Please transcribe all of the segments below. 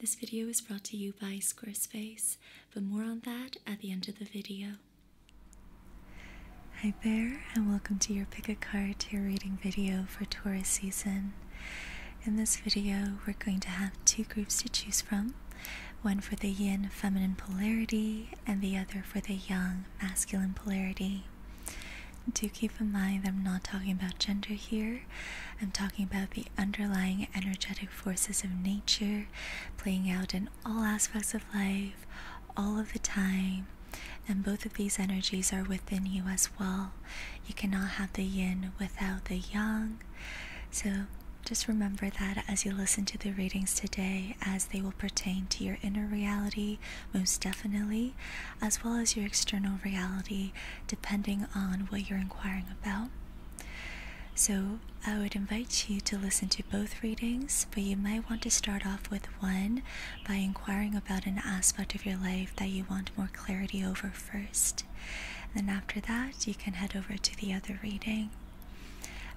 This video is brought to you by Squarespace, but more on that at the end of the video. Hi there, and welcome to your Pick a Card Tarot Reading video for Taurus season. In this video, we're going to have two groups to choose from one for the yin feminine polarity, and the other for the yang masculine polarity. Do keep in mind I'm not talking about gender here, I'm talking about the underlying energetic forces of nature playing out in all aspects of life, all of the time. And both of these energies are within you as well. You cannot have the yin without the yang. So just remember that as you listen to the readings today, as they will pertain to your inner reality, most definitely, as well as your external reality, depending on what you're inquiring about. So I would invite you to listen to both readings, but you might want to start off with one by inquiring about an aspect of your life that you want more clarity over first. And then after that, you can head over to the other reading.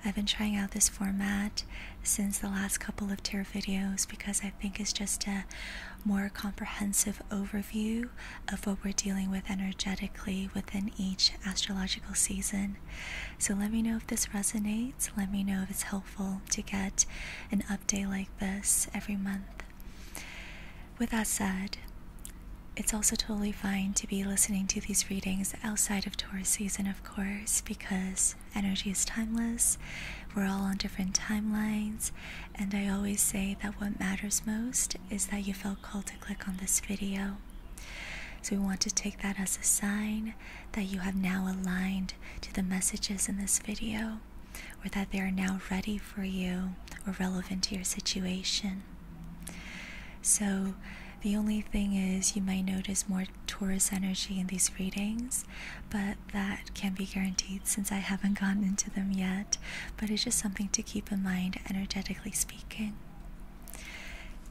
I've been trying out this format since the last couple of tarot videos because I think it's just a more comprehensive overview of what we're dealing with energetically within each astrological season. So let me know if this resonates. Let me know if it's helpful to get an update like this every month. With that said, it's also totally fine to be listening to these readings outside of Taurus season, of course, because energy is timeless. We're all on different timelines, and I always say that what matters most is that you felt called to click on this video. So we want to take that as a sign that you have now aligned to the messages in this video, or that they are now ready for you or relevant to your situation. So the only thing is, you might notice more Taurus energy in these readings, but that can be guaranteed since I haven't gotten into them yet. But it's just something to keep in mind energetically speaking.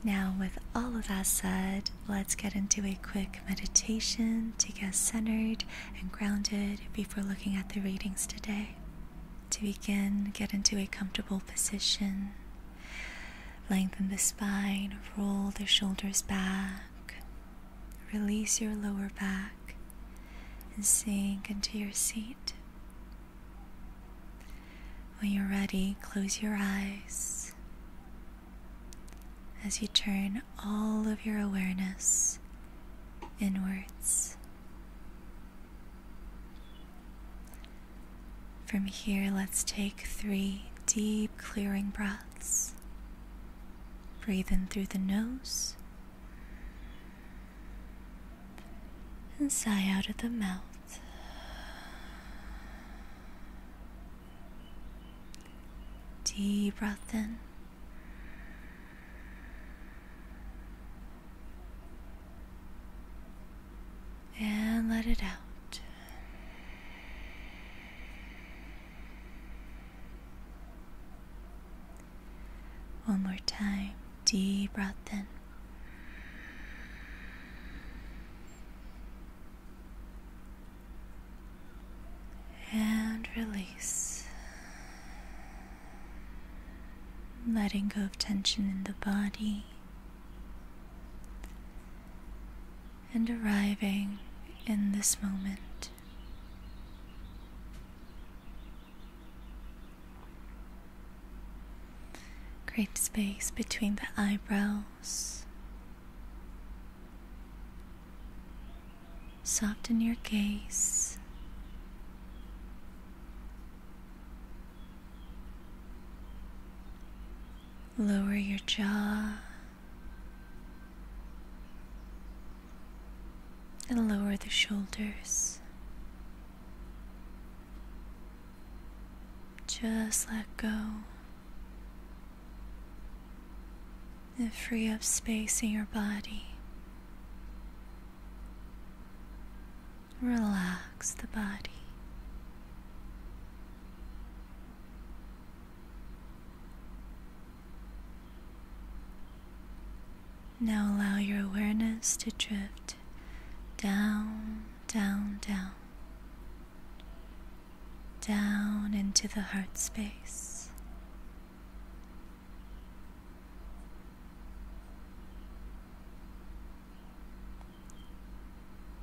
Now, with all of that said, let's get into a quick meditation to get centered and grounded before looking at the readings today. To begin, get into a comfortable position. Lengthen the spine, roll the shoulders back, release your lower back, and sink into your seat. When you're ready, close your eyes as you turn all of your awareness inwards. From here, let's take three deep clearing breaths. Breathe in through the nose and sigh out of the mouth. Deep breath in. And let it out. One more time. Deep breath in. And release. Letting go of tension in the body. And arriving in this moment. Great space between the eyebrows. Soften your gaze. Lower your jaw and lower the shoulders. Just let go and free up space in your body. Relax the body. Now allow your awareness to drift down, down, down, down into the heart space.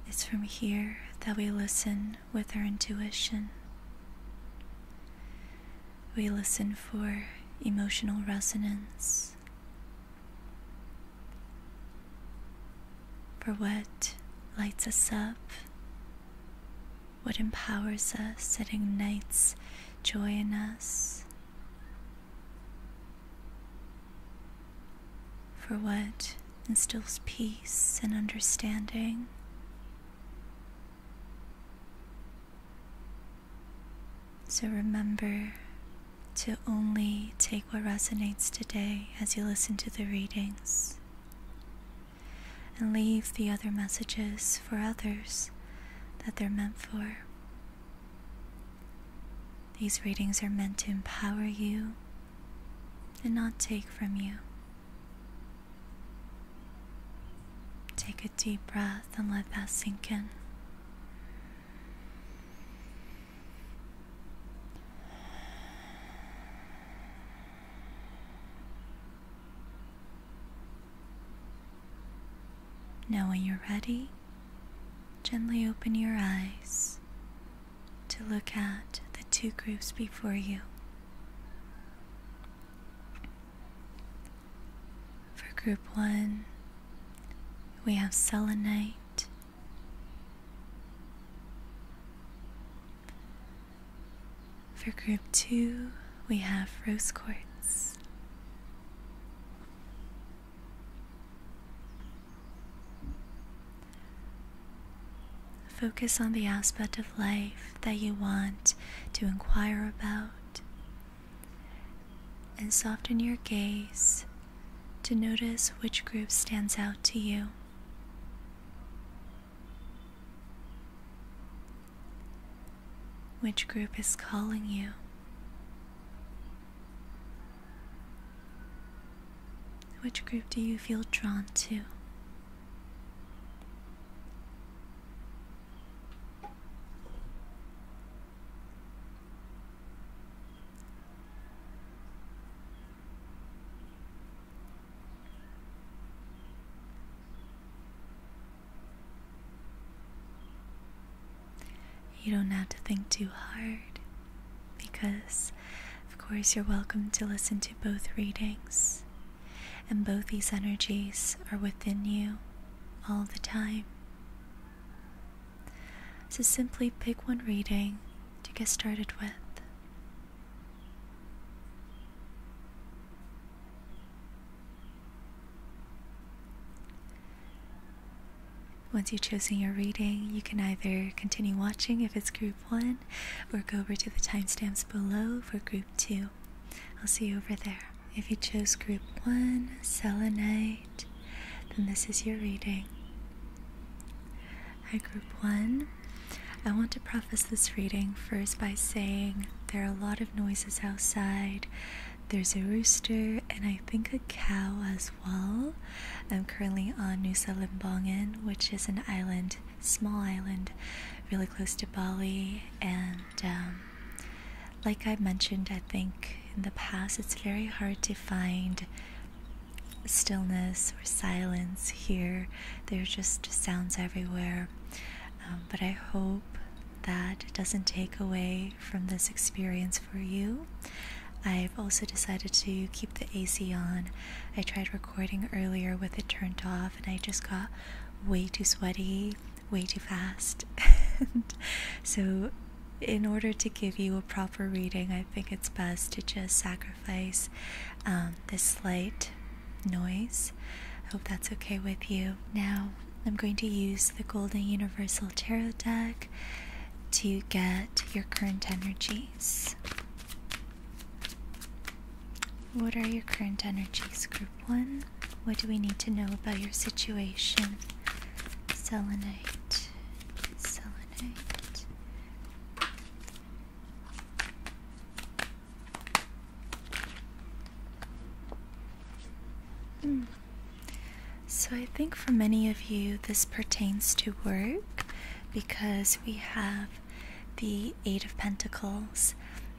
It's from here that we listen with our intuition. We listen for emotional resonance for what lights us up, what empowers us, it ignites joy in us, for what instills peace and understanding. So remember to only take what resonates today as you listen to the readings and leave the other messages for others that they're meant for. These readings are meant to empower you and not take from you. Take a deep breath and let that sink in. Now, when you're ready, gently open your eyes to look at the two groups before you. For group one, we have selenite, for group two, we have rose quartz. Focus on the aspect of life that you want to inquire about and soften your gaze to notice which group stands out to you. Which group is calling you? Which group do you feel drawn to? You don't have to think too hard because, of course, you're welcome to listen to both readings, and both these energies are within you all the time. So simply pick one reading to get started with. Once you've chosen your reading, you can either continue watching if it's group 1 or go over to the timestamps below for group 2. I'll see you over there. If you chose group 1, selenite, then this is your reading. Hi, group 1. I want to preface this reading first by saying there are a lot of noises outside. There's a rooster and I think a cow as well. I'm currently on Nusa Lembongan, which is an island, small island, really close to Bali, and um, like I mentioned, I think in the past it's very hard to find stillness or silence here. There are just sounds everywhere. Um, but I hope that doesn't take away from this experience for you. I've also decided to keep the AC on. I tried recording earlier with it turned off and I just got way too sweaty way too fast. so, in order to give you a proper reading, I think it's best to just sacrifice um, this slight noise. I hope that's okay with you. Now, I'm going to use the Golden Universal Tarot deck to get your current energies. What are your current energies, group one? What do we need to know about your situation? Selenite. Selenite. Hmm. So, I think for many of you, this pertains to work because we have the Eight of Pentacles.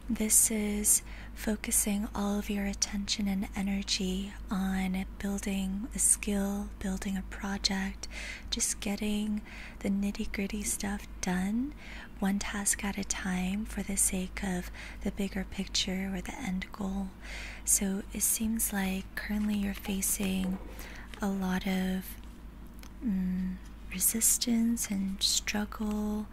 This is focusing all of your attention and energy on building a skill, building a project, just getting the nitty gritty stuff done, one task at a time, for the sake of the bigger picture or the end goal. So it seems like currently you're facing a lot of mm, resistance and struggle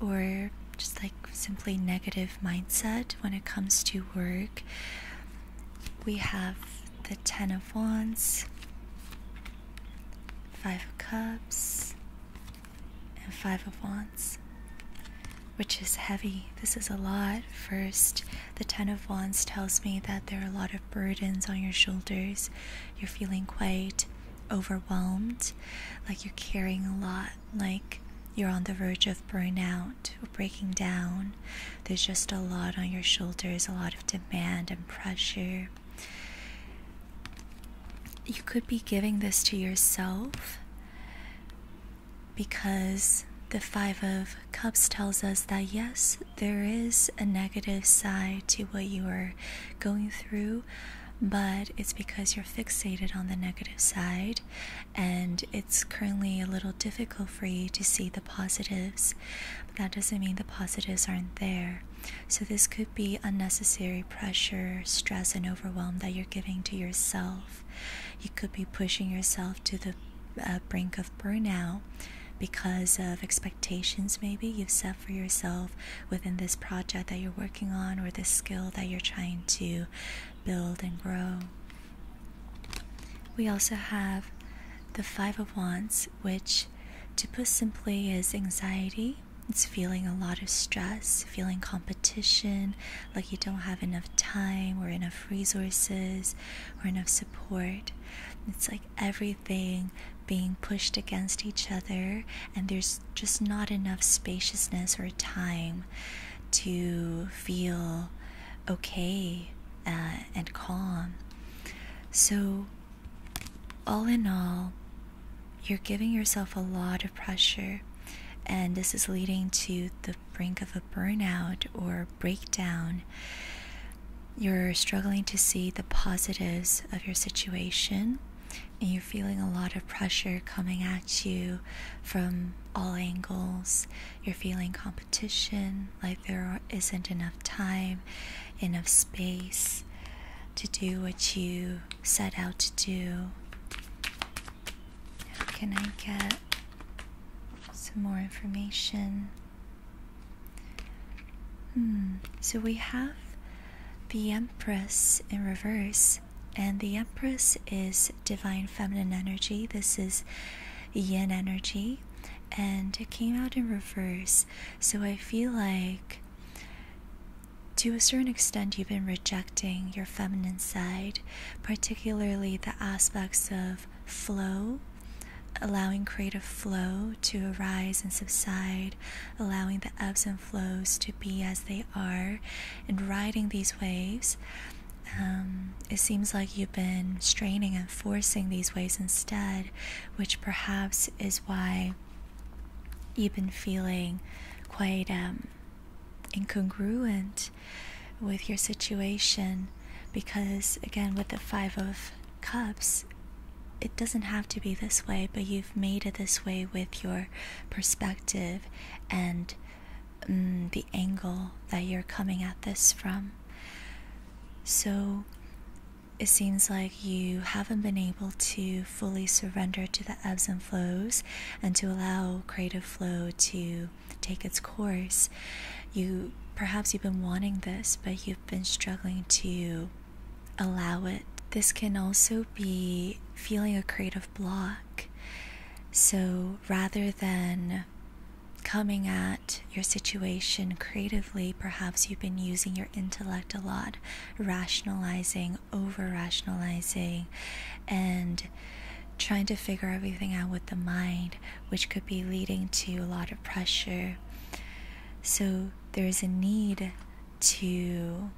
or just like simply negative mindset when it comes to work. We have the Ten of Wands, Five of Cups, and Five of Wands, which is heavy. This is a lot. First, the Ten of Wands tells me that there are a lot of burdens on your shoulders. You're feeling quite overwhelmed, like you're carrying a lot like you're on the verge of burnout or breaking down. There's just a lot on your shoulders, a lot of demand and pressure. You could be giving this to yourself because the Five of Cups tells us that yes, there is a negative side to what you are going through, but it's because you're fixated on the negative side and it's currently a little difficult for you to see the positives, but that doesn't mean the positives aren't there. So, this could be unnecessary pressure, stress, and overwhelm that you're giving to yourself. You could be pushing yourself to the uh, brink of burnout because of expectations maybe you've set for yourself within this project that you're working on or this skill that you're trying to build and grow. We also have the Five of Wands, which, to put simply, is anxiety. It's feeling a lot of stress, feeling competition, like you don't have enough time or enough resources or enough support. It's like everything being pushed against each other, and there's just not enough spaciousness or time to feel okay uh, and calm. So, all in all, you're giving yourself a lot of pressure, and this is leading to the brink of a burnout or breakdown. You're struggling to see the positives of your situation, and you're feeling a lot of pressure coming at you from all angles. You're feeling competition, like there isn't enough time, enough space to do what you set out to do. can I get some more information? Hmm, so we have the Empress in reverse, and the Empress is divine feminine energy. This is yin energy, and it came out in reverse. So I feel like, to a certain extent, you've been rejecting your feminine side, particularly the aspects of flow. Allowing creative flow to arise and subside, allowing the ebbs and flows to be as they are, and riding these waves um, it seems like you've been straining and forcing these ways instead, which perhaps is why you've been feeling quite um, incongruent with your situation. Because, again, with the Five of Cups, it doesn't have to be this way, but you've made it this way with your perspective and Mm, the angle that you're coming at this from. So it seems like you haven't been able to fully surrender to the ebbs and flows and to allow creative flow to take its course. You perhaps you've been wanting this, but you've been struggling to allow it. This can also be feeling a creative block so rather than coming at your situation creatively, perhaps you've been using your intellect a lot, rationalizing, over rationalizing, and trying to figure everything out with the mind, which could be leading to a lot of pressure. So there's a need to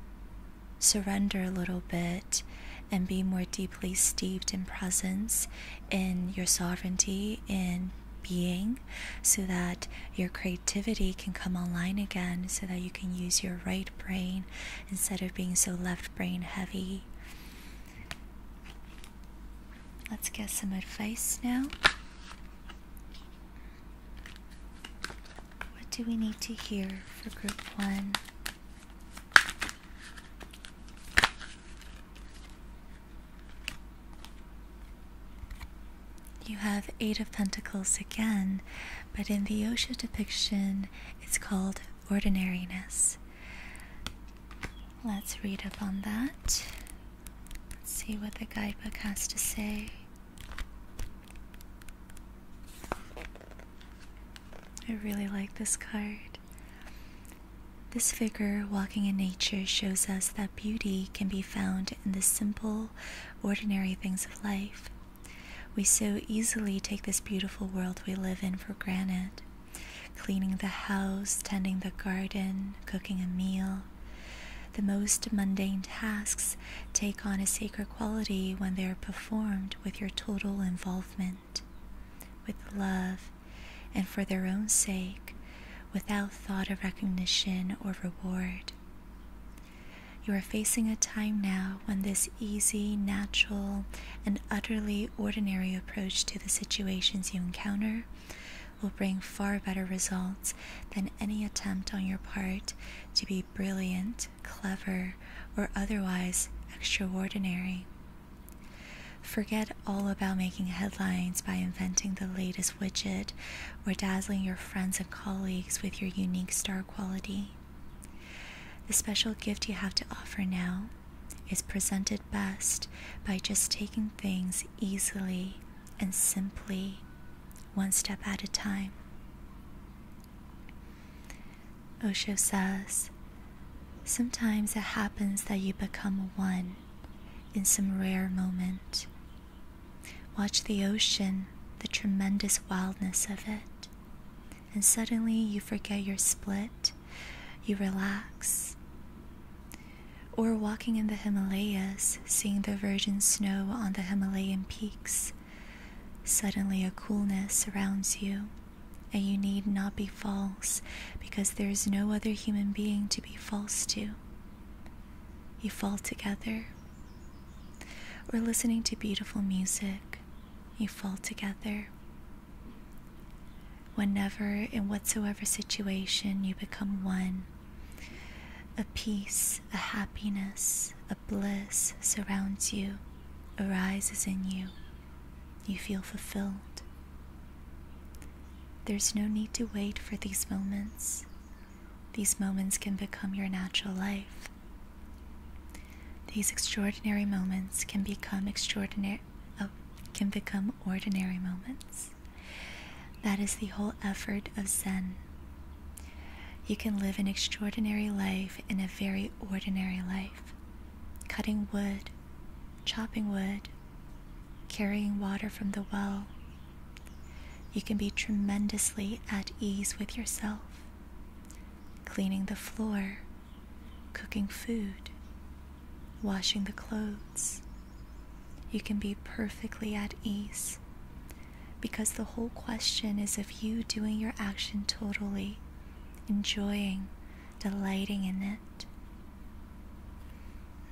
surrender a little bit and be more deeply steeped in presence, in your sovereignty, in being, so that your creativity can come online again, so that you can use your right brain instead of being so left brain heavy. Let's get some advice now. What do we need to hear for group one? You have Eight of Pentacles again, but in the Osho depiction, it's called ordinariness. Let's read up on that. Let's see what the guidebook has to say. I really like this card. This figure walking in nature shows us that beauty can be found in the simple, ordinary things of life. We so easily take this beautiful world we live in for granted. Cleaning the house, tending the garden, cooking a meal. The most mundane tasks take on a sacred quality when they are performed with your total involvement with love and for their own sake without thought of recognition or reward. You are facing a time now when this easy, natural, and utterly ordinary approach to the situations you encounter will bring far better results than any attempt on your part to be brilliant, clever, or otherwise extraordinary. Forget all about making headlines by inventing the latest widget or dazzling your friends and colleagues with your unique star quality. The special gift you have to offer now is presented best by just taking things easily and simply, one step at a time. Osho says, Sometimes it happens that you become one in some rare moment. Watch the ocean, the tremendous wildness of it, and suddenly you forget your split, you relax. Or walking in the Himalayas, seeing the virgin snow on the Himalayan peaks, suddenly a coolness surrounds you and you need not be false because there is no other human being to be false to. You fall together. Or listening to beautiful music, you fall together. Whenever, in whatsoever situation, you become one, a peace, a happiness, a bliss surrounds you, arises in you. You feel fulfilled. There's no need to wait for these moments. These moments can become your natural life. These extraordinary moments can become extraordinary oh, can become ordinary moments. That is the whole effort of Zen. You can live an extraordinary life in a very ordinary life. Cutting wood chopping wood, carrying water from the well. You can be tremendously at ease with yourself, cleaning the floor, cooking food, washing the clothes. You can be perfectly at ease because the whole question is of you doing your action totally, enjoying delighting in it.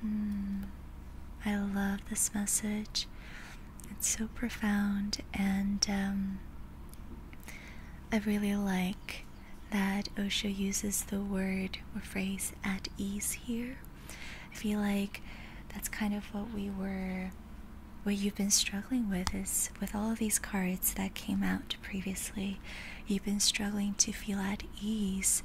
Mm. I love this message. It's so profound, and um, I really like that Osho uses the word or phrase at ease here. I feel like that's kind of what we were, what you've been struggling with is with all of these cards that came out previously, you've been struggling to feel at ease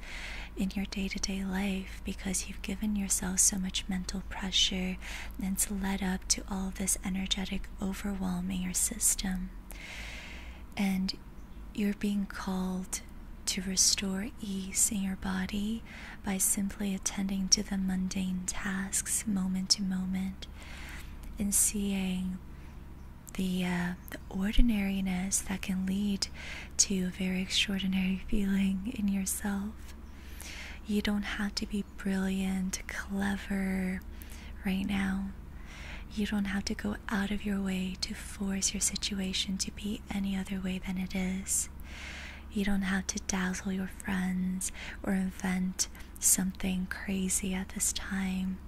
in your day to day life because you've given yourself so much mental pressure that's led up to all this energetic overwhelming your system. And you're being called to restore ease in your body by simply attending to the mundane tasks moment to moment and seeing the, uh, the ordinariness that can lead to a very extraordinary feeling in yourself. You don't have to be brilliant, clever right now. You don't have to go out of your way to force your situation to be any other way than it is. You don't have to dazzle your friends or invent something crazy at this time.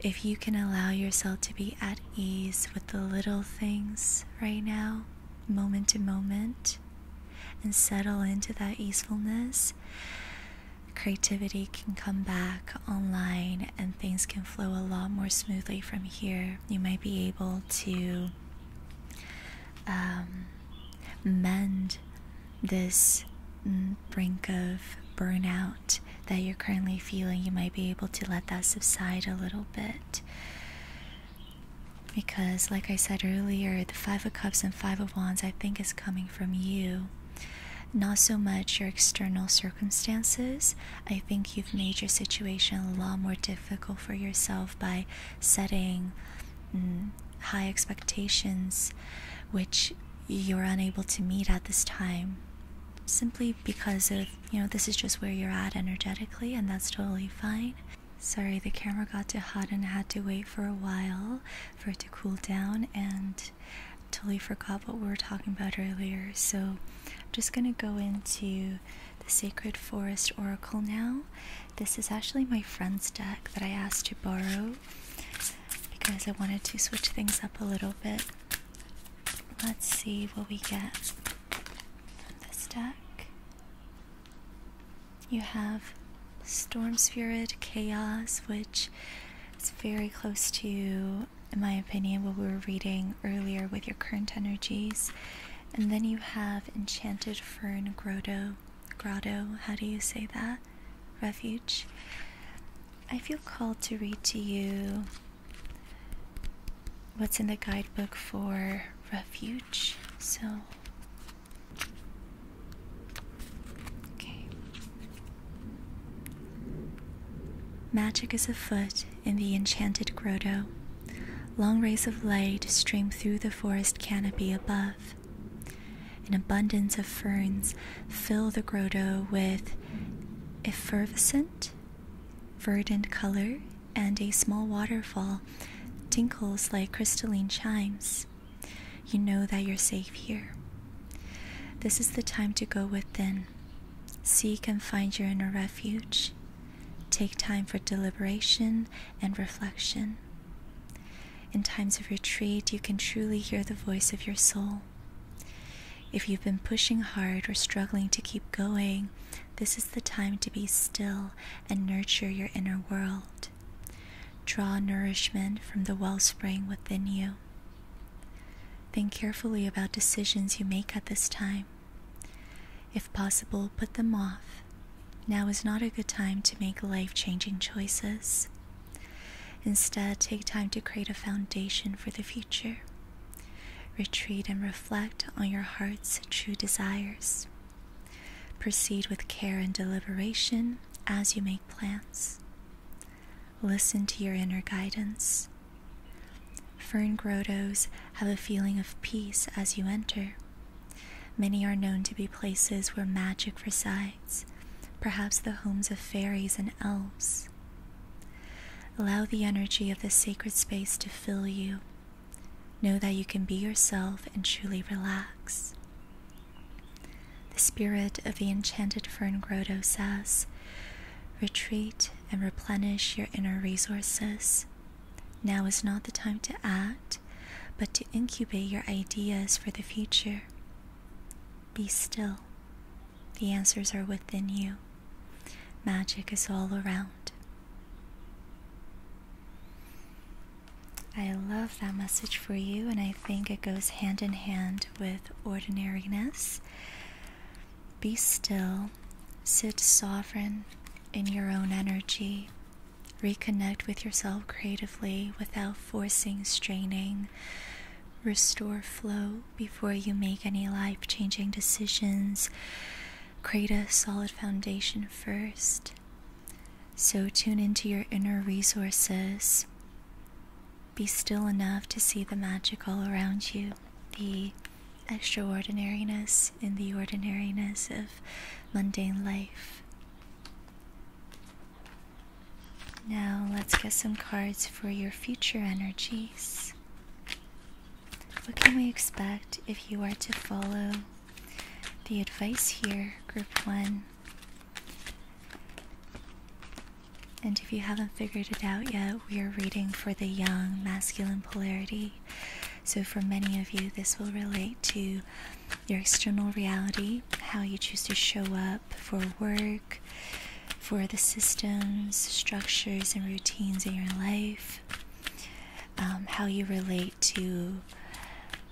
If you can allow yourself to be at ease with the little things right now, moment to moment, and settle into that easefulness, creativity can come back online and things can flow a lot more smoothly from here. You might be able to um, mend this brink of burnout that you're currently feeling, you might be able to let that subside a little bit. Because, like I said earlier, the Five of Cups and Five of Wands, I think, is coming from you. Not so much your external circumstances. I think you've made your situation a lot more difficult for yourself by setting mm, high expectations, which you're unable to meet at this time simply because of you know this is just where you're at energetically and that's totally fine sorry the camera got too hot and had to wait for a while for it to cool down and totally forgot what we were talking about earlier so i'm just going to go into the sacred forest oracle now this is actually my friend's deck that i asked to borrow because I wanted to switch things up a little bit. Let's see what we get from this deck. You have Storm Spirit Chaos, which is very close to, in my opinion, what we were reading earlier with your current energies. And then you have Enchanted Fern Grotto. Grotto, how do you say that? Refuge. I feel called to read to you what's in the guidebook for refuge. So, okay. Magic is afoot in the enchanted grotto. Long rays of light stream through the forest canopy above. An abundance of ferns fill the grotto with effervescent, verdant color, and a small waterfall tinkles like crystalline chimes. You know that you're safe here. This is the time to go within. Seek and find your inner refuge. Take time for deliberation and reflection. In times of retreat, you can truly hear the voice of your soul. If you've been pushing hard or struggling to keep going, this is the time to be still and nurture your inner world. Draw nourishment from the wellspring within you. Think carefully about decisions you make at this time. If possible, put them off. Now is not a good time to make life changing choices. Instead, take time to create a foundation for the future. Retreat and reflect on your heart's true desires. Proceed with care and deliberation as you make plans. Listen to your inner guidance. Fern grottos have a feeling of peace as you enter. Many are known to be places where magic resides perhaps the homes of fairies and elves. Allow the energy of this sacred space to fill you. Know that you can be yourself and truly relax. The spirit of the enchanted fern grotto says, Retreat and replenish your inner resources. Now is not the time to act, but to incubate your ideas for the future. Be still the answers are within you. Magic is all around. I love that message for you, and I think it goes hand in hand with ordinariness. Be still, sit sovereign in your own energy, reconnect with yourself creatively without forcing, straining, restore flow before you make any life changing decisions. Create a solid foundation first. So, tune into your inner resources. Be still enough to see the magic all around you, the extraordinariness in the ordinariness of mundane life. Now let's get some cards for your future energies. What can we expect if you are to follow the advice here, group one? And if you haven't figured it out yet, we are reading for the young masculine polarity. So, for many of you, this will relate to your external reality, how you choose to show up for work, for the systems, structures, and routines in your life, um, how you relate to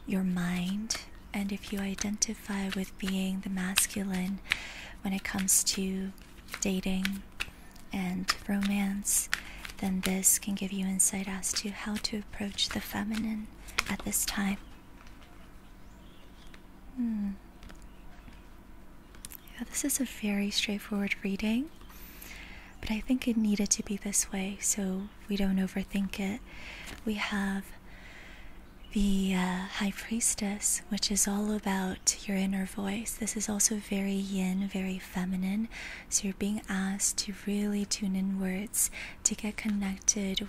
your mind, and if you identify with being the masculine when it comes to dating and romance, then this can give you insight as to how to approach the feminine at this time. Hmm. Yeah, this is a very straightforward reading, but I think it needed to be this way so we don't overthink it. We have the uh, High Priestess, which is all about your inner voice. This is also very yin, very feminine. So you're being asked to really tune inwards, to get connected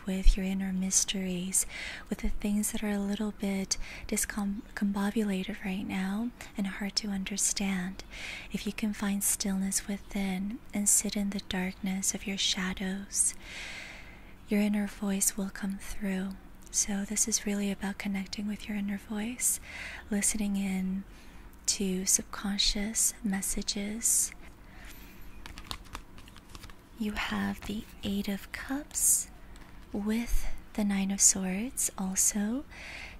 with your inner mysteries, with the things that are a little bit discombobulated right now and hard to understand. If you can find stillness within and sit in the darkness of your shadows, your inner voice will come through. So, this is really about connecting with your inner voice, listening in to subconscious messages you have the Eight of Cups with the Nine of Swords also.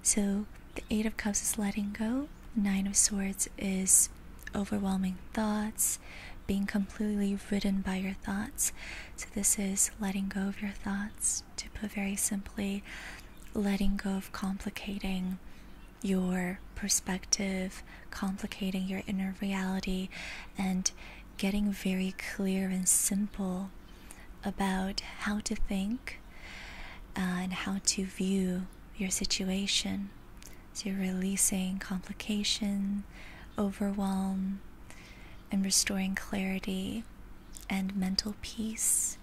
So the Eight of Cups is letting go, Nine of Swords is overwhelming thoughts, being completely ridden by your thoughts. So this is letting go of your thoughts, to put very simply, letting go of complicating your perspective, complicating your inner reality, and getting very clear and simple about how to think uh, and how to view your situation. So you're releasing complication, overwhelm, and restoring clarity and mental peace,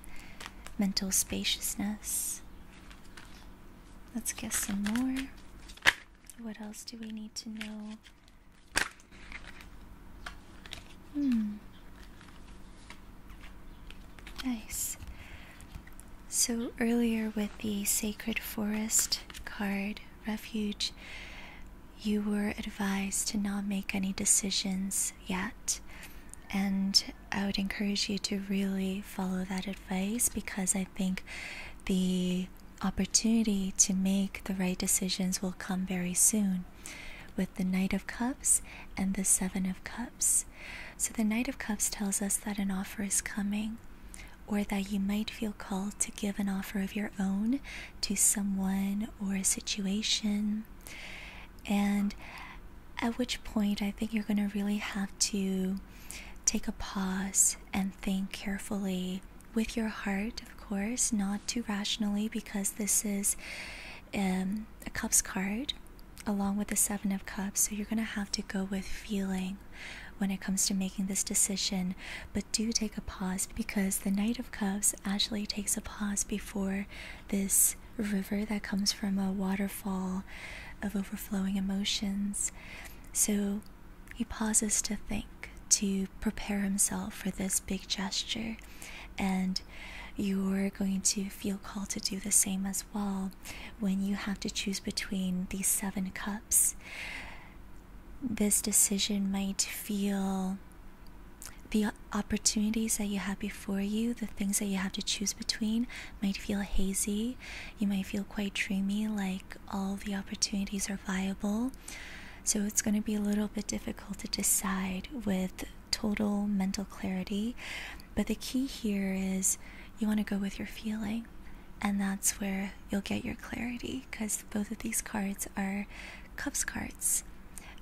mental spaciousness. Let's guess some more. What else do we need to know? Hmm. Nice. So earlier with the Sacred Forest card refuge, you were advised to not make any decisions yet. And I would encourage you to really follow that advice because I think the opportunity to make the right decisions will come very soon with the Knight of Cups and the Seven of Cups. So, the Knight of Cups tells us that an offer is coming, or that you might feel called to give an offer of your own to someone or a situation. And at which point, I think you're going to really have to take a pause and think carefully with your heart, of course, not too rationally, because this is um, a Cups card along with the Seven of Cups. So you're going to have to go with feeling when it comes to making this decision. But do take a pause because the Knight of Cups actually takes a pause before this river that comes from a waterfall of overflowing emotions. So he pauses to think, to prepare himself for this big gesture, and you're going to feel called to do the same as well when you have to choose between these seven cups. This decision might feel the opportunities that you have before you, the things that you have to choose between, might feel hazy. You might feel quite dreamy, like all the opportunities are viable. So it's going to be a little bit difficult to decide with total mental clarity. But the key here is you want to go with your feeling. And that's where you'll get your clarity because both of these cards are Cups cards,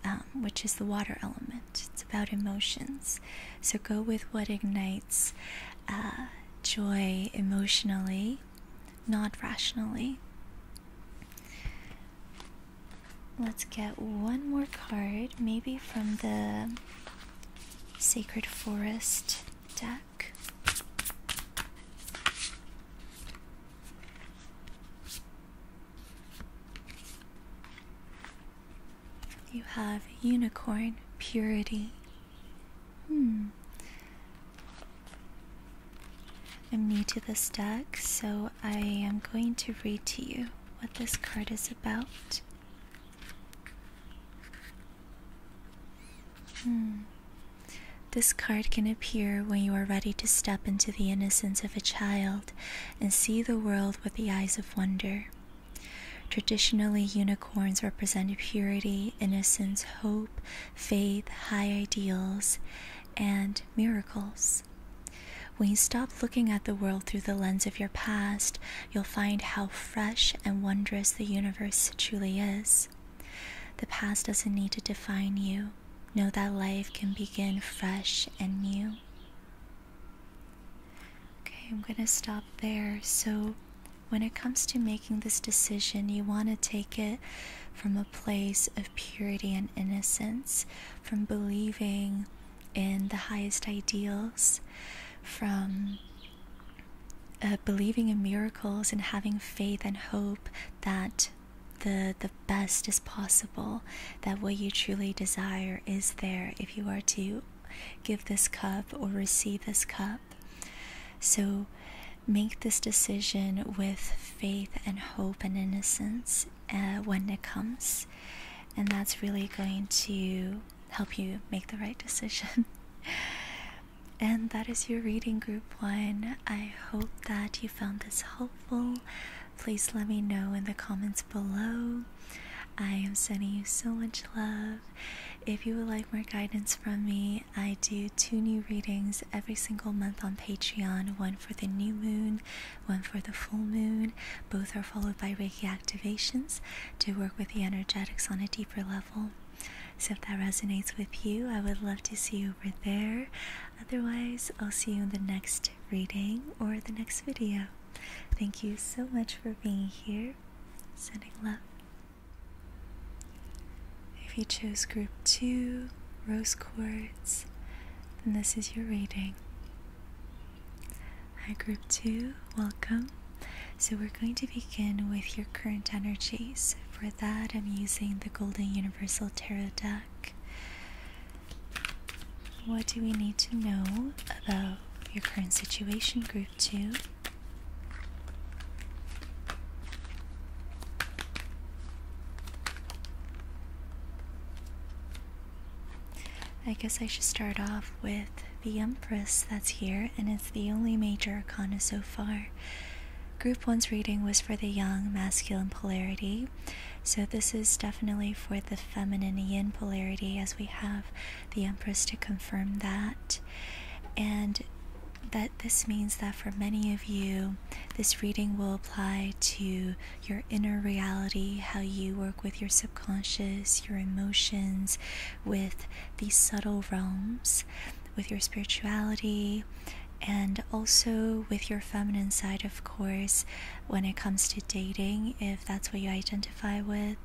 um, which is the water element. It's about emotions. So go with what ignites uh, joy emotionally not rationally. Let's get one more card, maybe from the Sacred Forest deck. You have Unicorn Purity. Hmm. I'm new to this deck, so I am going to read to you what this card is about. Hmm. This card can appear when you are ready to step into the innocence of a child and see the world with the eyes of wonder. Traditionally, unicorns represent purity, innocence, hope, faith, high ideals, and miracles. When you stop looking at the world through the lens of your past, you'll find how fresh and wondrous the universe truly is. The past doesn't need to define you. Know that life can begin fresh and new. Okay, I'm going to stop there. So, when it comes to making this decision, you want to take it from a place of purity and innocence, from believing in the highest ideals, from uh, believing in miracles and having faith and hope that the the best is possible, that what you truly desire is there if you are to give this cup or receive this cup. So make this decision with faith and hope and innocence uh, when it comes. And that's really going to help you make the right decision. and that is your reading, group one. I hope that you found this helpful. Please let me know in the comments below. I am sending you so much love. If you would like more guidance from me, I do two new readings every single month on Patreon one for the new moon, one for the full moon. Both are followed by Reiki activations to work with the energetics on a deeper level. So, if that resonates with you, I would love to see you over there. Otherwise, I'll see you in the next reading or the next video. Thank you so much for being here. Sending love. If you chose group 2, rose quartz, then this is your reading. Hi, group 2, welcome. So, we're going to begin with your current energies. For that, I'm using the Golden Universal Tarot deck. What do we need to know about your current situation, group 2? I guess I should start off with the Empress that's here, and it's the only major arcana so far. Group 1's reading was for the young masculine polarity, so this is definitely for the feminine yin polarity, as we have the Empress to confirm that. And that this means that for many of you, this reading will apply to your inner reality, how you work with your subconscious, your emotions, with these subtle realms, with your spirituality, and also with your feminine side, of course, when it comes to dating, if that's what you identify with,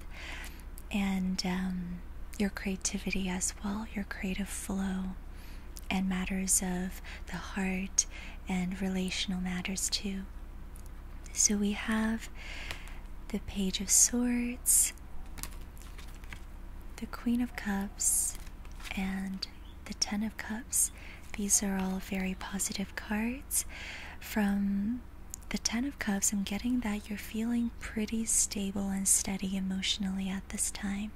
and um, your creativity as well, your creative flow and matters of the heart and relational matters too. So we have the Page of Swords, the Queen of Cups, and the Ten of Cups. These are all very positive cards. From the Ten of Cups, I'm getting that you're feeling pretty stable and steady emotionally at this time.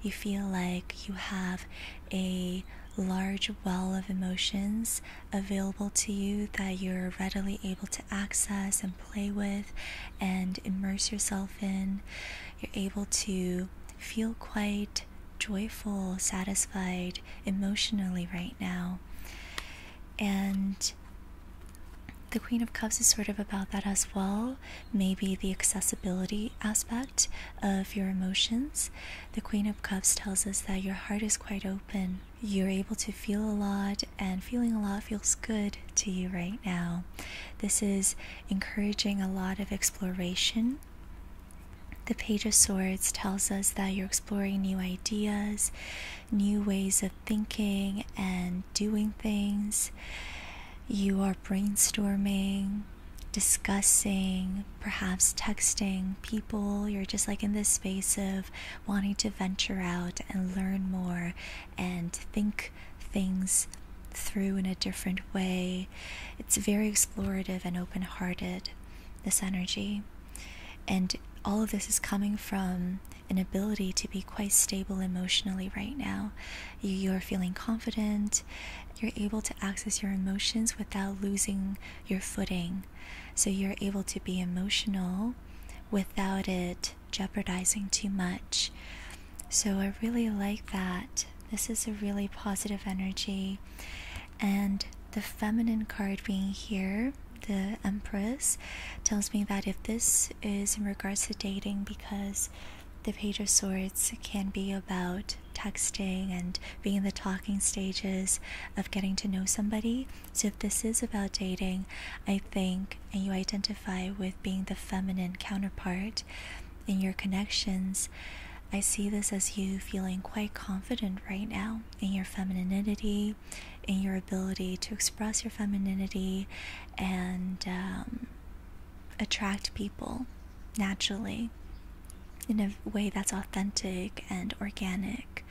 You feel like you have a large well of emotions available to you that you're readily able to access and play with and immerse yourself in. You're able to feel quite joyful, satisfied emotionally right now. And the Queen of Cups is sort of about that as well maybe the accessibility aspect of your emotions. The Queen of Cups tells us that your heart is quite open. You're able to feel a lot, and feeling a lot feels good to you right now. This is encouraging a lot of exploration. The Page of Swords tells us that you're exploring new ideas, new ways of thinking and doing things. You are brainstorming, discussing, perhaps texting people. You're just like in this space of wanting to venture out and learn more and think things through in a different way. It's very explorative and open hearted, this energy. And all of this is coming from an ability to be quite stable emotionally right now you're feeling confident, you're able to access your emotions without losing your footing. So you're able to be emotional without it jeopardizing too much. So I really like that. This is a really positive energy. And the feminine card being here, the Empress, tells me that if this is in regards to dating, because the Page of Swords can be about texting and being in the talking stages of getting to know somebody. So, if this is about dating, I think, and you identify with being the feminine counterpart in your connections, I see this as you feeling quite confident right now in your femininity, in your ability to express your femininity, and um, attract people naturally in a way that's authentic and organic.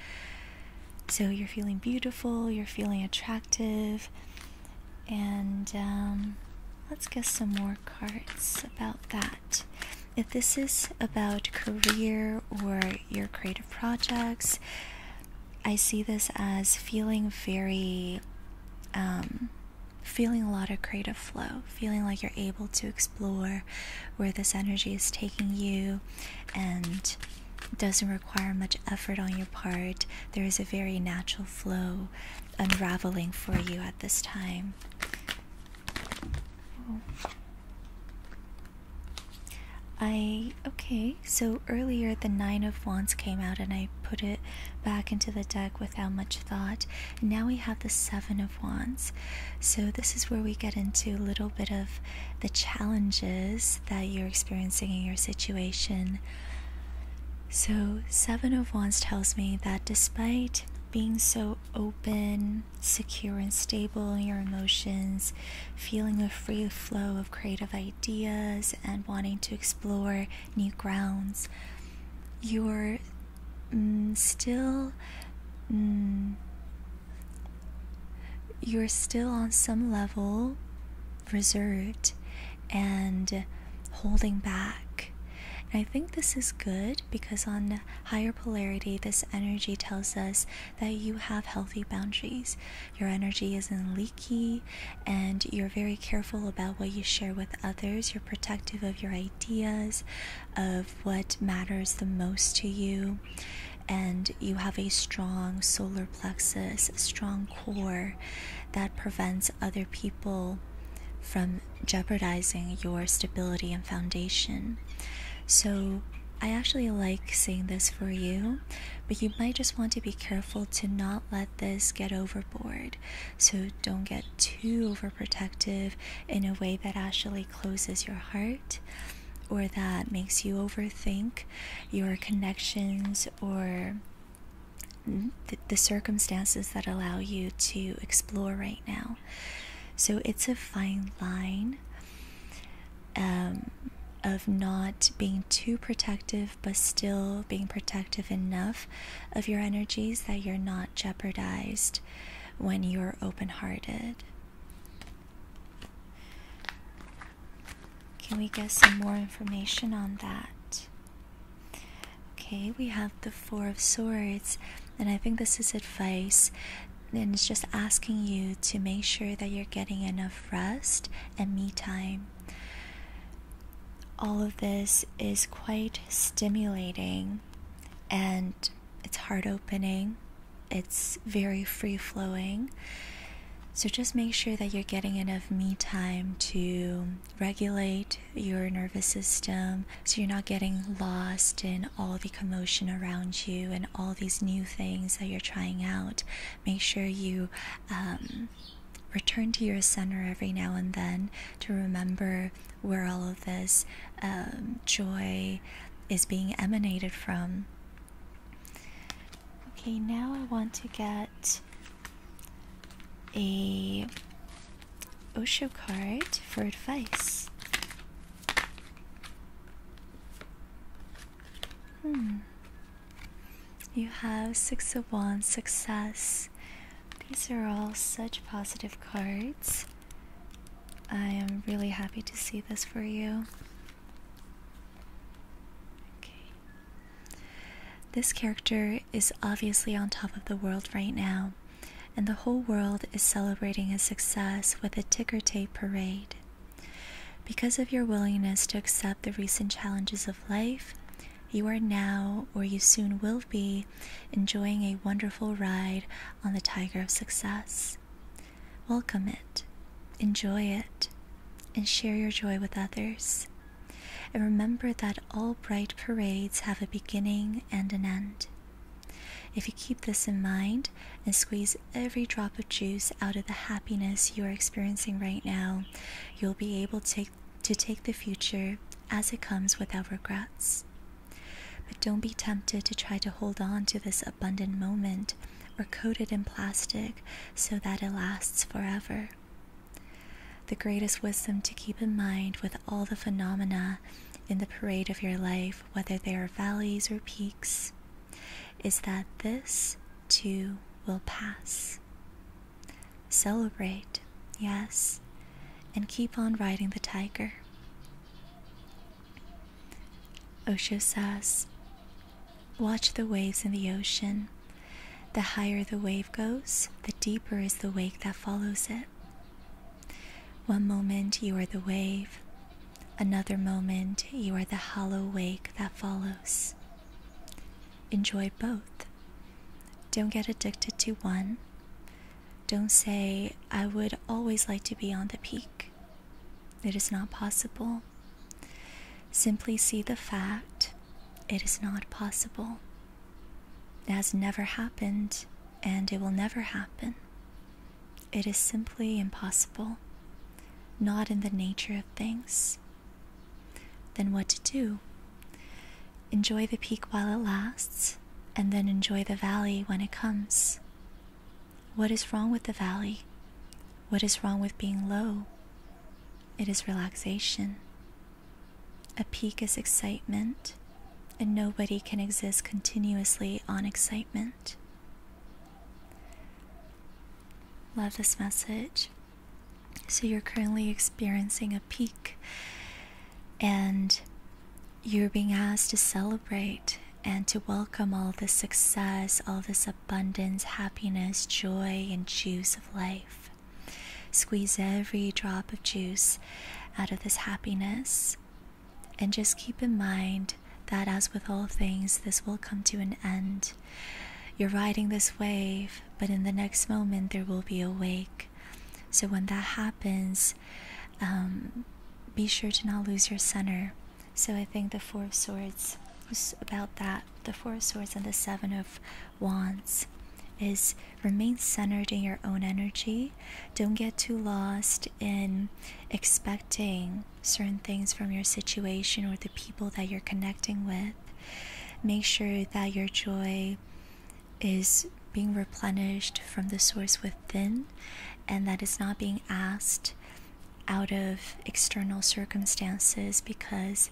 So you're feeling beautiful, you're feeling attractive, and um, let's get some more cards about that. If this is about career or your creative projects, I see this as feeling very um, feeling a lot of creative flow, feeling like you're able to explore where this energy is taking you and doesn't require much effort on your part. There is a very natural flow unraveling for you at this time. I okay, so earlier the 9 of wands came out and I put it back into the deck without much thought. And now we have the Seven of Wands. So, this is where we get into a little bit of the challenges that you're experiencing in your situation. So, Seven of Wands tells me that despite being so open, secure, and stable in your emotions, feeling a free flow of creative ideas, and wanting to explore new grounds. You're mm, still. Mm, you're still on some level reserved and holding back. And I think this is good because on higher polarity, this energy tells us that you have healthy boundaries. Your energy isn't leaky and you're very careful about what you share with others. You're protective of your ideas, of what matters the most to you, and you have a strong solar plexus, a strong core that prevents other people from jeopardizing your stability and foundation. So, I actually like seeing this for you, but you might just want to be careful to not let this get overboard. So don't get too overprotective in a way that actually closes your heart or that makes you overthink your connections or the, circumstances that allow you to explore right now. So it's a fine line um, of not being too protective but still being protective enough of your energies that you're not jeopardized when you're open hearted. Can we get some more information on that? Okay, we have the Four of Swords, and I think this is advice and it's just asking you to make sure that you're getting enough rest and me time all of this is quite stimulating and it's heart opening, it's very free flowing. So just make sure that you're getting enough me time to regulate your nervous system so you're not getting lost in all the commotion around you and all these new things that you're trying out. Make sure you um, return to your center every now and then to remember where all of this um, joy is being emanated from. Okay, now I want to get a Osho card for advice. Hmm. You have Six of one Success, these are all such positive cards. I am really happy to see this for you. Okay. This character is obviously on top of the world right now, and the whole world is celebrating his success with a ticker tape parade. Because of your willingness to accept the recent challenges of life, you are now, or you soon will be, enjoying a wonderful ride on the Tiger of Success. Welcome it, enjoy it, and share your joy with others. And remember that all bright parades have a beginning and an end. If you keep this in mind and squeeze every drop of juice out of the happiness you are experiencing right now, you'll be able to to take the future as it comes without regrets. But don't be tempted to try to hold on to this abundant moment or coat it in plastic so that it lasts forever. The greatest wisdom to keep in mind with all the phenomena in the parade of your life, whether they are valleys or peaks, is that this too will pass celebrate, yes, and keep on riding the tiger. Osho says, Watch the waves in the ocean. The higher the wave goes, the deeper is the wake that follows it. One moment you are the wave, another moment you are the hollow wake that follows. Enjoy both. Don't get addicted to one. Don't say, I would always like to be on the peak. It is not possible. Simply see the fact it is not possible. It has never happened and it will never happen. It is simply impossible, not in the nature of things then what to do. Enjoy the peak while it lasts, and then enjoy the valley when it comes. What is wrong with the valley? What is wrong with being low? It is relaxation. A peak is excitement, and nobody can exist continuously on excitement. Love this message. So you're currently experiencing a peak and you're being asked to celebrate and to welcome all this success, all this abundance, happiness, joy, and juice of life. Squeeze every drop of juice out of this happiness. And just keep in mind that, as with all things, this will come to an end. You're riding this wave, but in the next moment, there will be a wake. So when that happens, um, be sure to not lose your center. So I think the Four of Swords was about that. The Four of Swords and the Seven of Wands is remain centered in your own energy. Don't get too lost in expecting certain things from your situation or the people that you're connecting with. Make sure that your joy is being replenished from the source within and that is not being asked out of external circumstances because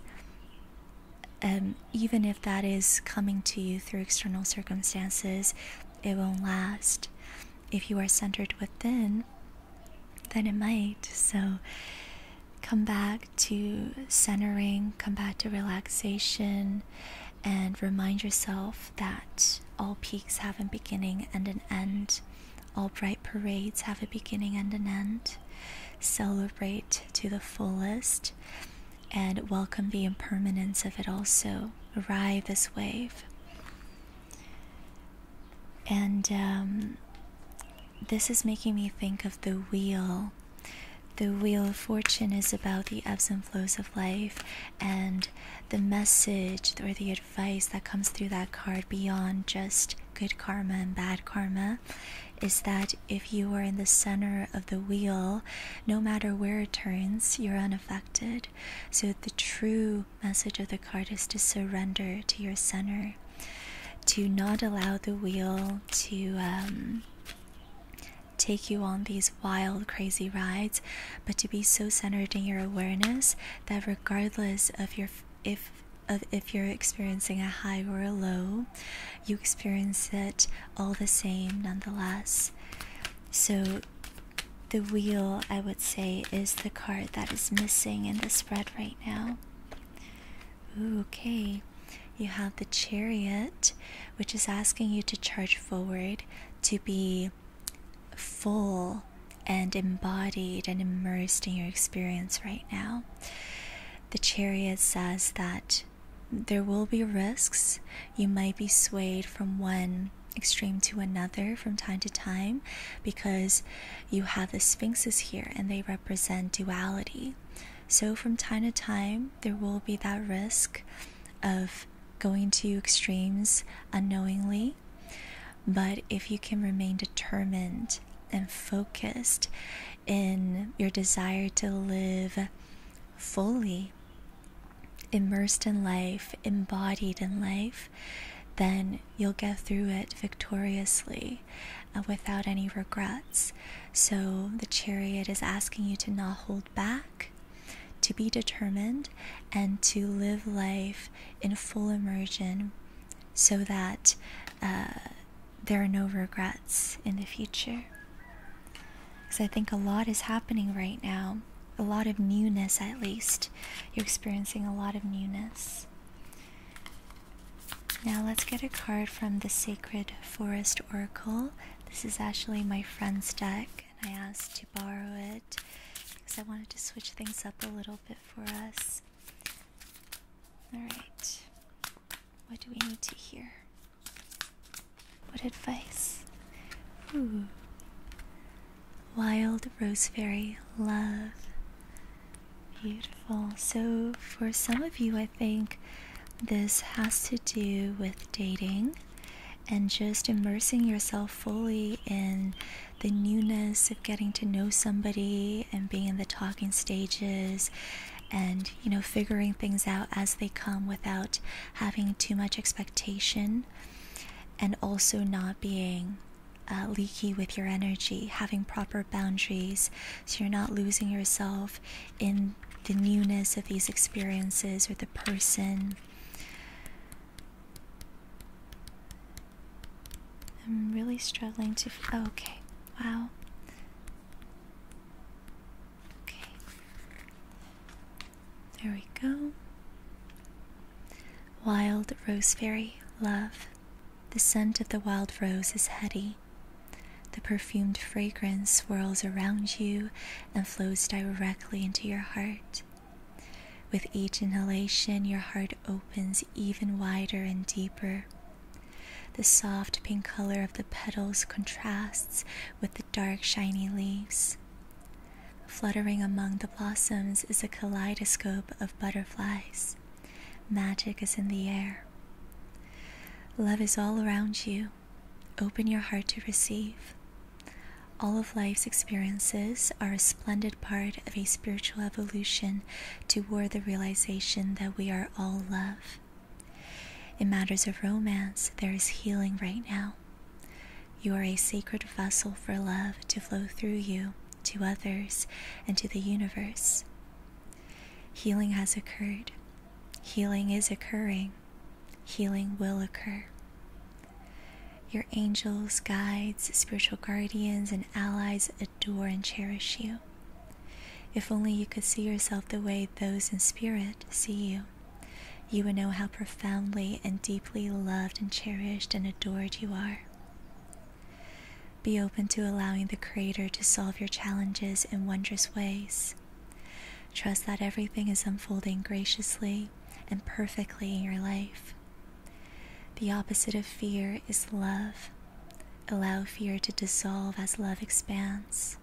um, even if that is coming to you through external circumstances, it won't last. If you are centered within, then it might. So come back to centering, come back to relaxation, and remind yourself that all peaks have a beginning and an end. All bright parades have a beginning and an end. Celebrate to the fullest and welcome the impermanence of it also. Ride this wave. And um, this is making me think of the wheel the Wheel of Fortune is about the ebbs and flows of life and the message or the advice that comes through that card beyond just good karma and bad karma is that if you are in the center of the wheel, no matter where it turns, you're unaffected. So the true message of the card is to surrender to your center, to not allow the wheel to um, take you on these wild, crazy rides, but to be so centered in your awareness that regardless of your if of if you're experiencing a high or a low, you experience it all the same nonetheless. So the wheel, I would say, is the card that is missing in the spread right now. okay. You have the chariot, which is asking you to charge forward, to be full and embodied and immersed in your experience right now. The chariot says that there will be risks. You might be swayed from one extreme to another from time to time because you have the sphinxes here and they represent duality. So, from time to time, there will be that risk of going to extremes unknowingly. But if you can remain determined and focused in your desire to live fully, immersed in life, embodied in life, then you'll get through it victoriously uh, without any regrets. So the chariot is asking you to not hold back, to be determined, and to live life in full immersion so that uh, there are no regrets in the future. Because I think a lot is happening right now, a lot of newness at least. You're experiencing a lot of newness. Now let's get a card from the Sacred Forest Oracle this is actually my friend's deck, and I asked to borrow it because I wanted to switch things up a little bit for us. Alright, what do we need to hear? What advice? Ooh. Wild fairy Love. Beautiful. So, for some of you, I think this has to do with dating and just immersing yourself fully in the newness of getting to know somebody and being in the talking stages and you know figuring things out as they come without having too much expectation and also not being uh, leaky with your energy having proper boundaries so you're not losing yourself in the newness of these experiences with the person. I'm really struggling to. F oh, okay, wow. Okay. There we go. Wild Rose Fairy, love. The scent of the wild rose is heady the perfumed fragrance swirls around you and flows directly into your heart. With each inhalation, your heart opens even wider and deeper. The soft pink color of the petals contrasts with the dark, shiny leaves. Fluttering among the blossoms is a kaleidoscope of butterflies. Magic is in the air. Love is all around you, open. your heart to receive. All of life's experiences are a splendid part of a spiritual evolution toward the realization that we are all love. In matters of romance, there is healing right now. You are a sacred vessel for love to flow through you, to others, and to the universe. Healing has occurred. Healing is occurring healing will occur. Your angels, guides, spiritual guardians, and allies adore and cherish you. If only you could see yourself the way those in spirit see you, you would know how profoundly and deeply loved and cherished and adored you are. Be open to allowing the Creator to solve your challenges in wondrous ways, Trust that everything is unfolding graciously and perfectly in your life. The opposite of fear is love. Allow fear to dissolve as love expands.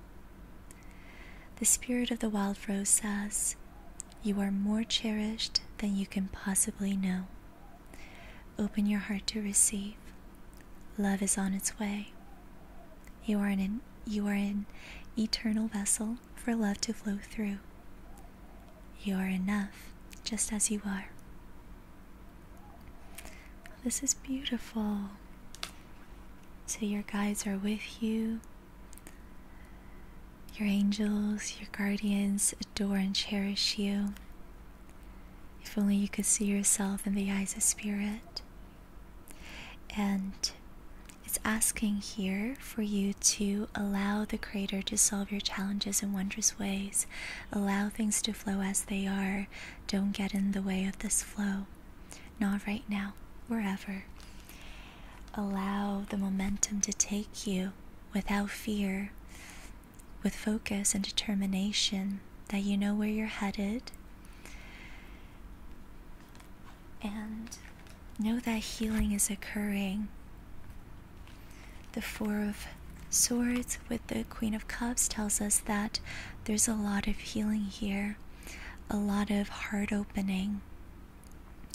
The spirit of the wild rose says, You are more cherished than you can possibly know. Open your heart to receive. Love is on its way. You are an you are an eternal vessel for love to flow through. You are enough just as you are. This is beautiful. So, your guides are with you. Your angels, your guardians adore and cherish you. If only you could see yourself in the eyes of spirit, and it's asking here for you to allow the Creator to solve your challenges in wondrous ways. Allow things to flow as they are. Don't get in the way of this flow. Not right now, wherever. Allow the momentum to take you without fear, with focus and determination that you know where you're headed and know that healing is occurring. The Four of Swords with the Queen of Cups tells us that there's a lot of healing here, a lot of heart opening,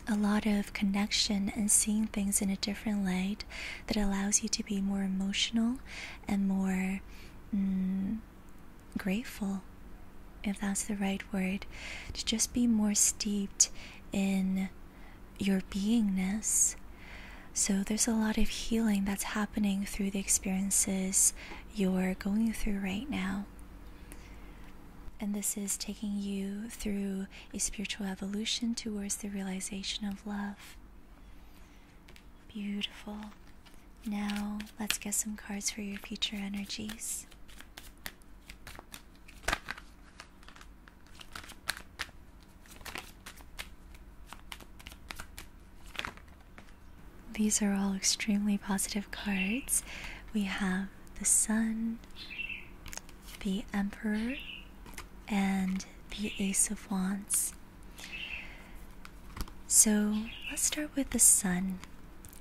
a lot of connection and seeing things in a different light that allows you to be more emotional and more mm, grateful, if that's the right word, to just be more steeped in your beingness. So, there's a lot of healing that's happening through the experiences you're going through right now. And this is taking you through a spiritual evolution towards the realization of love. Beautiful. Now, let's get some cards for your future energies. These are all extremely positive cards. We have the Sun, the Emperor, and the Ace of Wands. So let's start with the Sun.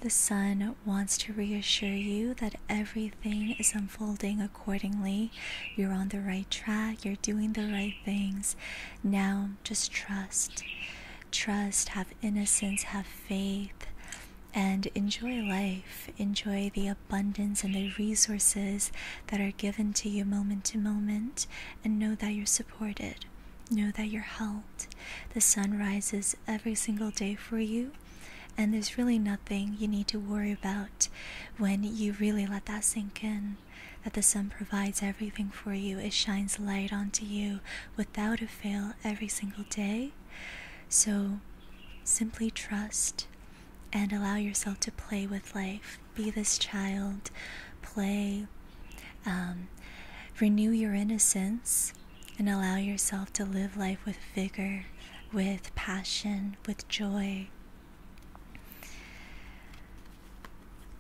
The sun wants to reassure you that everything is unfolding accordingly. You're on the right track, you're doing the right things. Now, just trust. Trust, have innocence, have faith, and enjoy life. Enjoy the abundance and the resources that are given to you moment to moment, and know that you're supported. Know that you're held. The sun rises every single day for you, and there's really nothing you need to worry about when you really let that sink in. That the sun provides everything for you, it shines light onto you without a fail every single day. So simply trust and allow yourself to play with life. Be this child, play, um, renew your innocence and allow yourself to live life with vigor, with passion, with joy.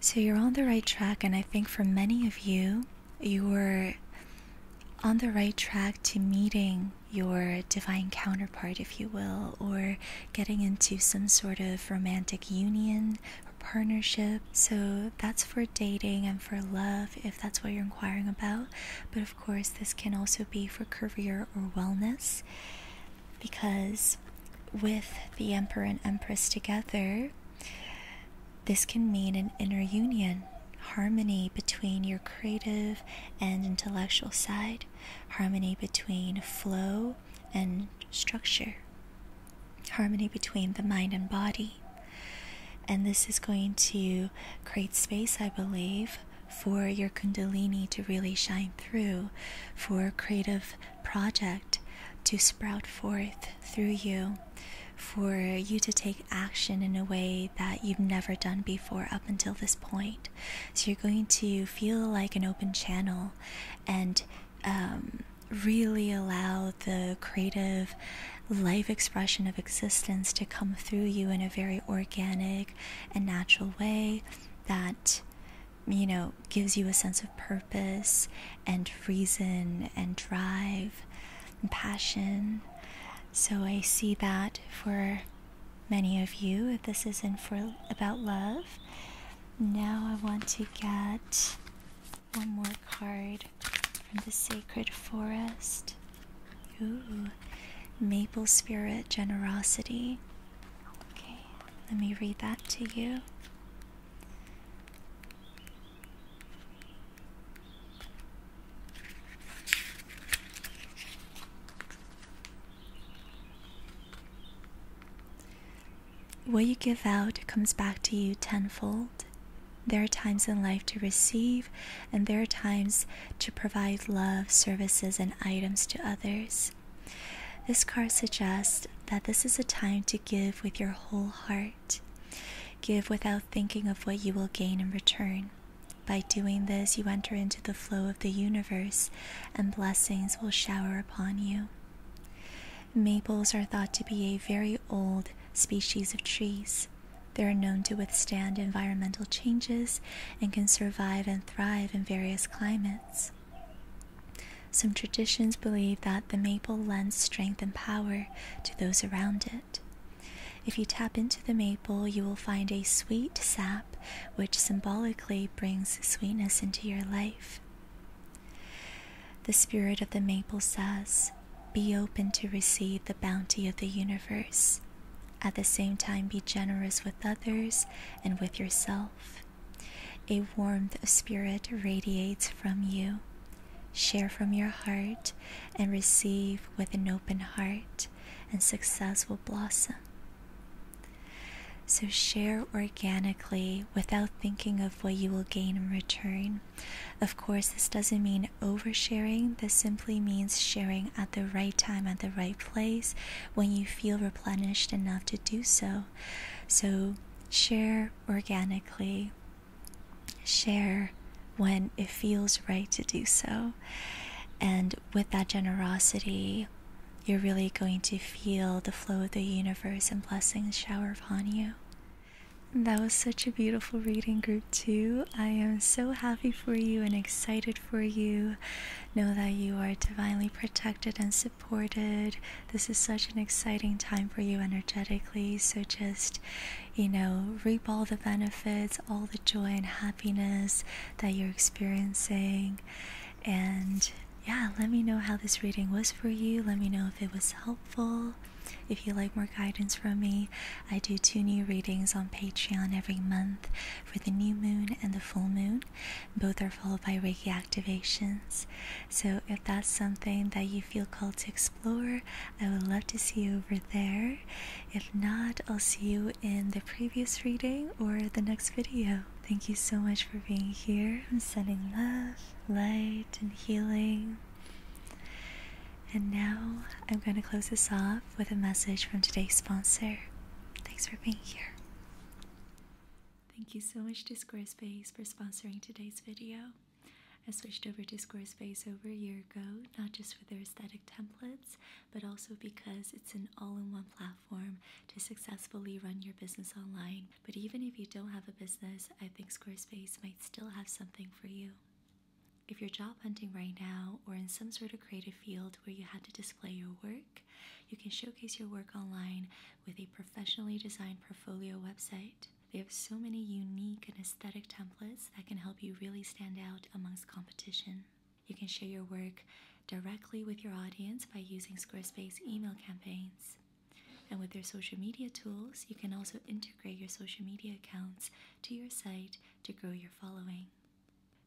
So you're on the right track, and I think for many of you, you were on the right track to meeting your divine counterpart, if you will, or getting into some sort of romantic union partnership. So that's for dating and for love if that's what you're inquiring about. But of course, this can also be for career or wellness because with the Emperor and Empress together, this can mean an inner union, harmony between your creative and intellectual side, harmony between flow and structure harmony between the mind and body. And this is going to create space, I believe, for your Kundalini to really shine through, for a creative project to sprout forth through you, for you to take action in a way that you've never done before up until this point. So you're going to feel like an open channel and um, really allow the creative life expression of existence to come through you in a very organic and natural way that you know gives you a sense of purpose and reason and drive and passion so i see that for many of you if this isn't for about love now i want to get one more card from the Sacred Forest. Ooh, Maple Spirit Generosity. Okay, let me read that to you. What you give out comes back to you tenfold. There are times in life to receive, and there are times to provide love, services, and items to others. This card suggests that this is a time to give with your whole heart. Give without thinking of what you will gain in return. By doing this, you enter into the flow of the universe, and blessings will shower upon you. Maples are thought to be a very old species of trees. They are known to withstand environmental changes and can survive and thrive in various climates. Some traditions believe that the maple lends strength and power to those around it. If you tap into the maple, you will find a sweet sap which symbolically brings sweetness into your life. The spirit of the maple says, be open to receive the bounty of the universe. At the same time, be generous with others and with yourself. A warmth of spirit radiates from you. Share from your heart and receive with an open heart, and success will blossom. So, share organically without thinking of what you will gain in return. Of course, this doesn't mean oversharing, this simply means sharing at the right time, at the right place, when you feel replenished enough to do so. So, share organically, share when it feels right to do so. And with that generosity, you're really going to feel the flow of the universe and blessings shower upon you. That was such a beautiful reading group, too. I am so happy for you and excited for you. Know that you are divinely protected and supported. This is such an exciting time for you energetically. So just, you know, reap all the benefits, all the joy and happiness that you're experiencing. And yeah, let me know how this reading was for you. Let me know if it was helpful. If you like more guidance from me, I do two new readings on Patreon every month for the new moon and the full moon. Both are followed by Reiki activations. So if that's something that you feel called to explore, I would love to see you over there. If not, I'll see you in the previous reading or the next video. Thank you so much for being here. I'm sending love, light, and healing and now I'm going to close this off with a message from today's sponsor. Thanks for being here. Thank you so much to Squarespace for sponsoring today's video. I switched over to Squarespace over a year ago, not just for their aesthetic templates, but also because it's an all in one platform to successfully run your business online. But even if you don't have a business, I think Squarespace might still have something for you. If you're job hunting right now or in some sort of creative field where you have to display your work, you can showcase your work online with a professionally designed portfolio website. They have so many unique and aesthetic templates that can help you really stand out amongst competition. You can share your work directly with your audience by using Squarespace email campaigns. And with their social media tools, you can also integrate integrate your social media accounts to your site to grow your following.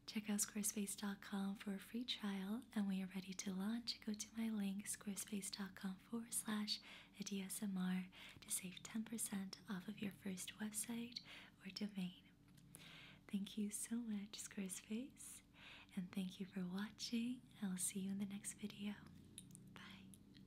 Check out squarespace.com for a free trial, and when you're ready to launch, go to my link squarespace.com forward slash ADSMR to save 10% off of your first website or domain. Thank you so much, Squarespace, and thank you for watching. I will see you in the next video. Bye.